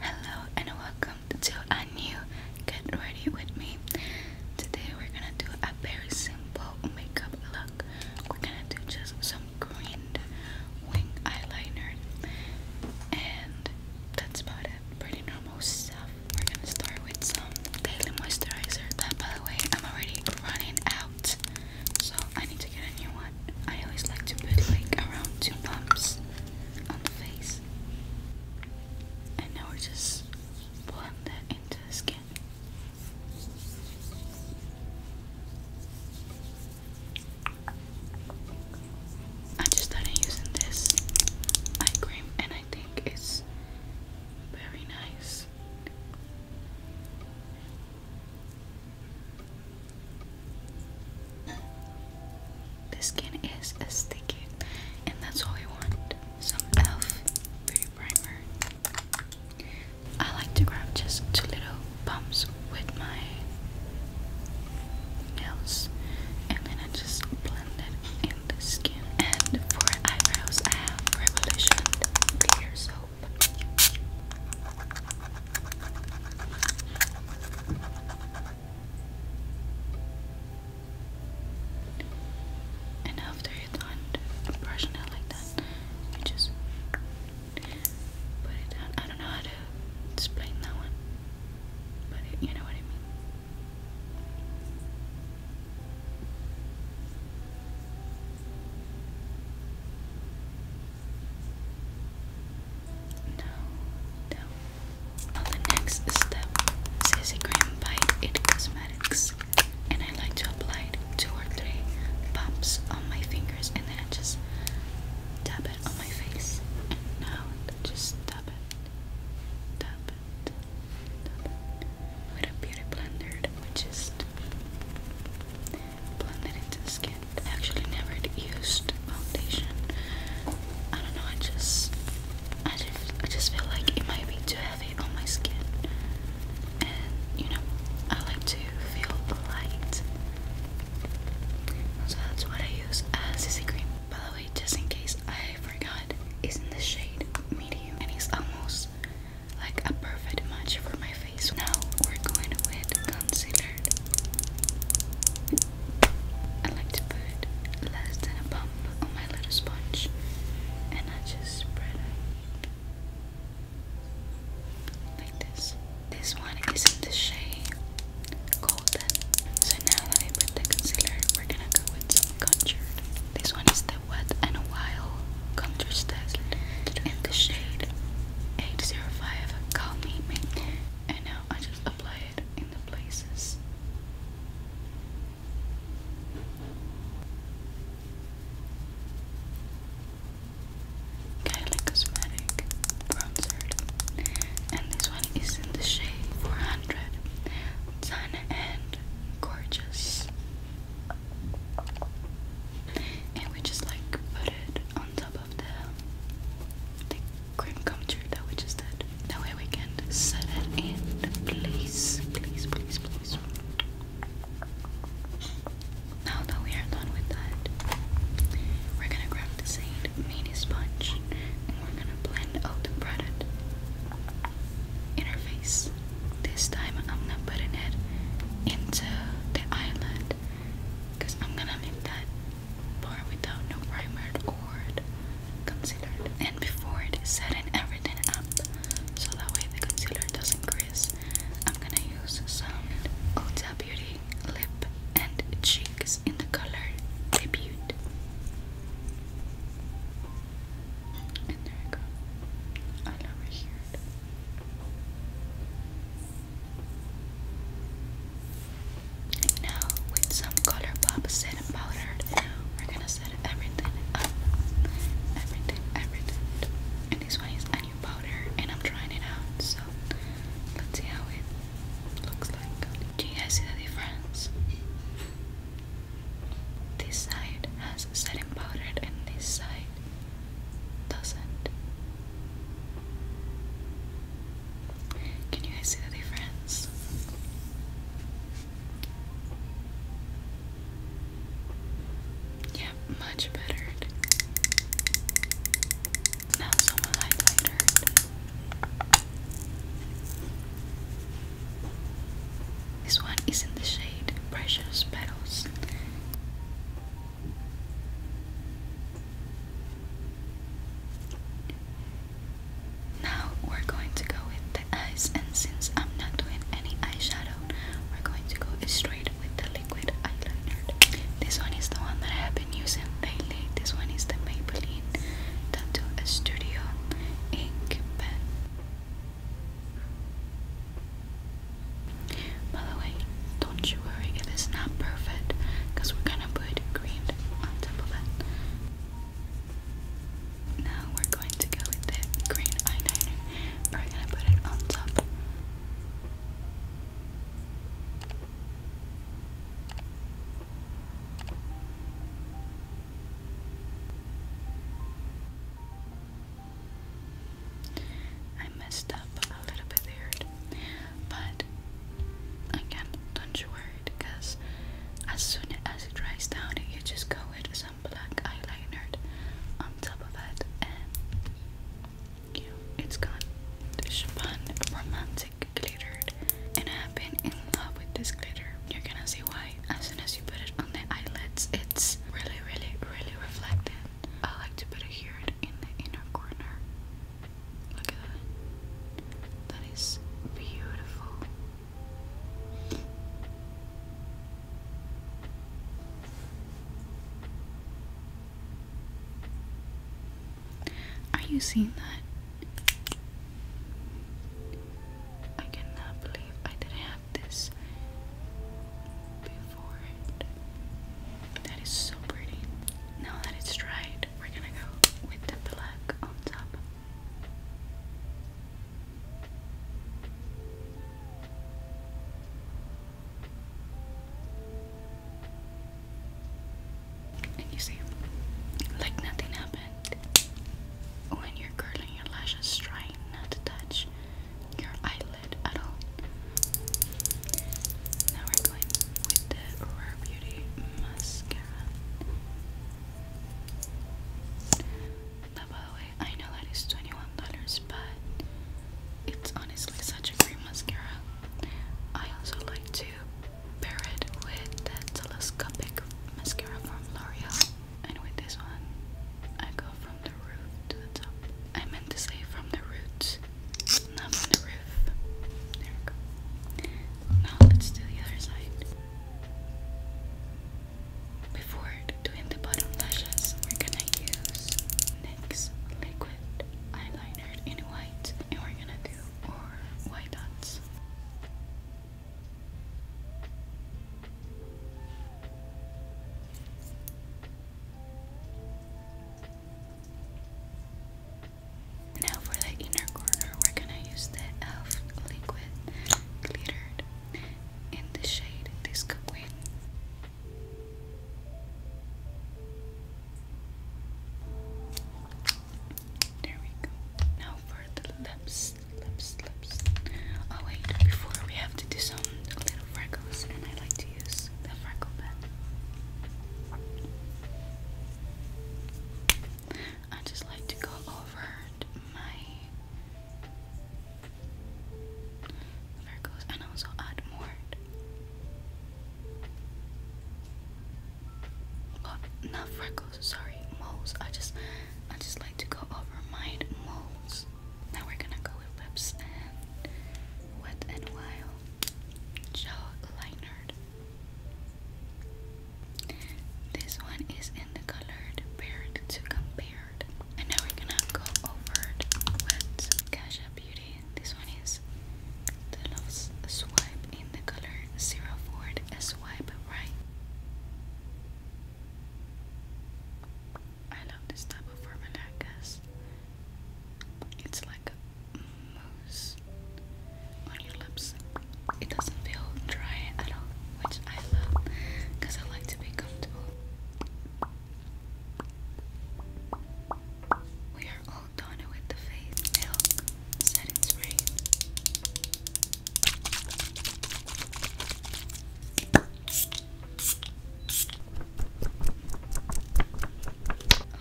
Hello and welcome to a new Get Ready With Me. Today we're gonna do a very simple makeup look. We're gonna do just some green wing eyeliner and that's about it. Pretty normal stuff. We're gonna start with some daily moisturizer that by the way I'm already running out so I need to get a new one. I always like to put like around two pumps on the face. And now we're just blend that into the skin. I just started using this eye cream and I think it's very nice. The skin is as and that's all we want. Some e.l.f. beauty primer. I like to grab just two little bumps with my nails, and then I just blend it in the skin. And for eyebrows, I have Revolution Clear and after you're done brushing it like that, you just put it down. I don't know how to explain that one, but you know what I mean no. Now the next step, CC cream by It Cosmetics, and I like to apply it two or three pumps on my fingers, and then I just tap it on my face. And now just tap it, tap it, tap it with a beauty blender, which is blend it into the skin. I actually never used foundation. I don't know, I just I just I just feel like it might be too heavy on my skin. And you know, I like to feel light. So that's what I use as CC cream. By the way, just in case I forgot, it's in the shade medium and it's almost like a perfect match for my face. Now we're going with concealer. I like to put less than a bump on my little sponge and I just spread it like this. This one is in the shade Golden. So now that I put the concealer, we're gonna go with some contoured. This one is the Wet and Wild Country's Test in the shade 805 Calm Me. And now I just apply it in the places. Kylie Cosmetic Bronzer. And this one is in the shade 400. Sun and Gorgeous and we just like put it on top of the, the cream comforter that we just did. That way we can set it in place. Please, please, please. Now that we are done with that, we're gonna grab the same mini sponge and we're gonna blend out the product in her face. This time I'm not putting it into the island because I'm gonna leave that part without no primer or concealer. And before it is set and everything up so that way the concealer doesn't crease, I'm gonna use some Ulta Beauty lip and cheeks in the color Debut. And there you go. I never hear it. And now, with some color pop set and powdered, we're gonna set everything up. Everything, everything. And this one is a new powder, and I'm trying it out, so let's see how it looks like. Do you guys see the difference? This side has setting powder and this side doesn't. Can you guys see the difference? Yeah, much better. Now some highlighter. This one is in the shade Precious Petals. Now we're going to go with the eyes, and since I'm not doing any eyeshadow, we're going to go straight with the liquid eyeliner. This one is the one that I have been using lately. This one is the Maybelline Magazine Tattoo Studio Ink Pen. By the way, don't you worry it's not perfect, because we're gonna put green on top of it. Now we're going to go with the green eyeliner. We're gonna put it on top. I messed up a little bit there, but again, don't you worry because as soon as it dries down, you just go with some black eyeliner on top of that, and you know, it's gone. It's romantic. Glittered, and I've been in love with this glitter. You're gonna see why as soon as you put it on the eyelids it's really really really reflective. I like to put it here in the inner corner. Look at that. That is beautiful. Are you seeing that? I cannot believe I didn't have this before That is so pretty. Now that it's dried, we're gonna go with the black on top. And you see, like nothing happened. When you're curling your lashes, trying not to touch your eyelid at all. Now we're going with the Rare Beauty mascara. Now, by the way, I know that $21, but it's honestly such a great mascara. I also like to pair it with the telescopic mascara from L'Oreal. And with this one, I go from the roof to the top. I meant to say from the roots, not from the roof. There we go. Now let's do the other side. Before doing the bottom lashes, we're gonna use liquid eyeliner in white and we're gonna do our white dots. Now for the inner corner we're gonna use the e.l.f. liquid glittered in the shade Disco Queen. There we go. Now for the lips, lips, lips. Oh wait, before we have to do some little freckles, and I like to use the freckle pen. I just like to go over my Virgos, and also Admord. Well, not Virgos, sorry, moles. I just, I just like to go over my moles. Now we're gonna go with lips and Wet and Wild Gel Liner. This one is in the color Paired to Compare. And now we're gonna go over it with some Beauty. This one is the Love Swipe in the color 04 Swipe Right. I love this type of formula, I It's like a mousse on your lips. It doesn't feel dry at all which I love because I like to be comfortable. We are all done with the face milk setting spray.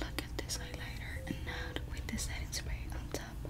Look at this highlighter and now with the setting spray on top.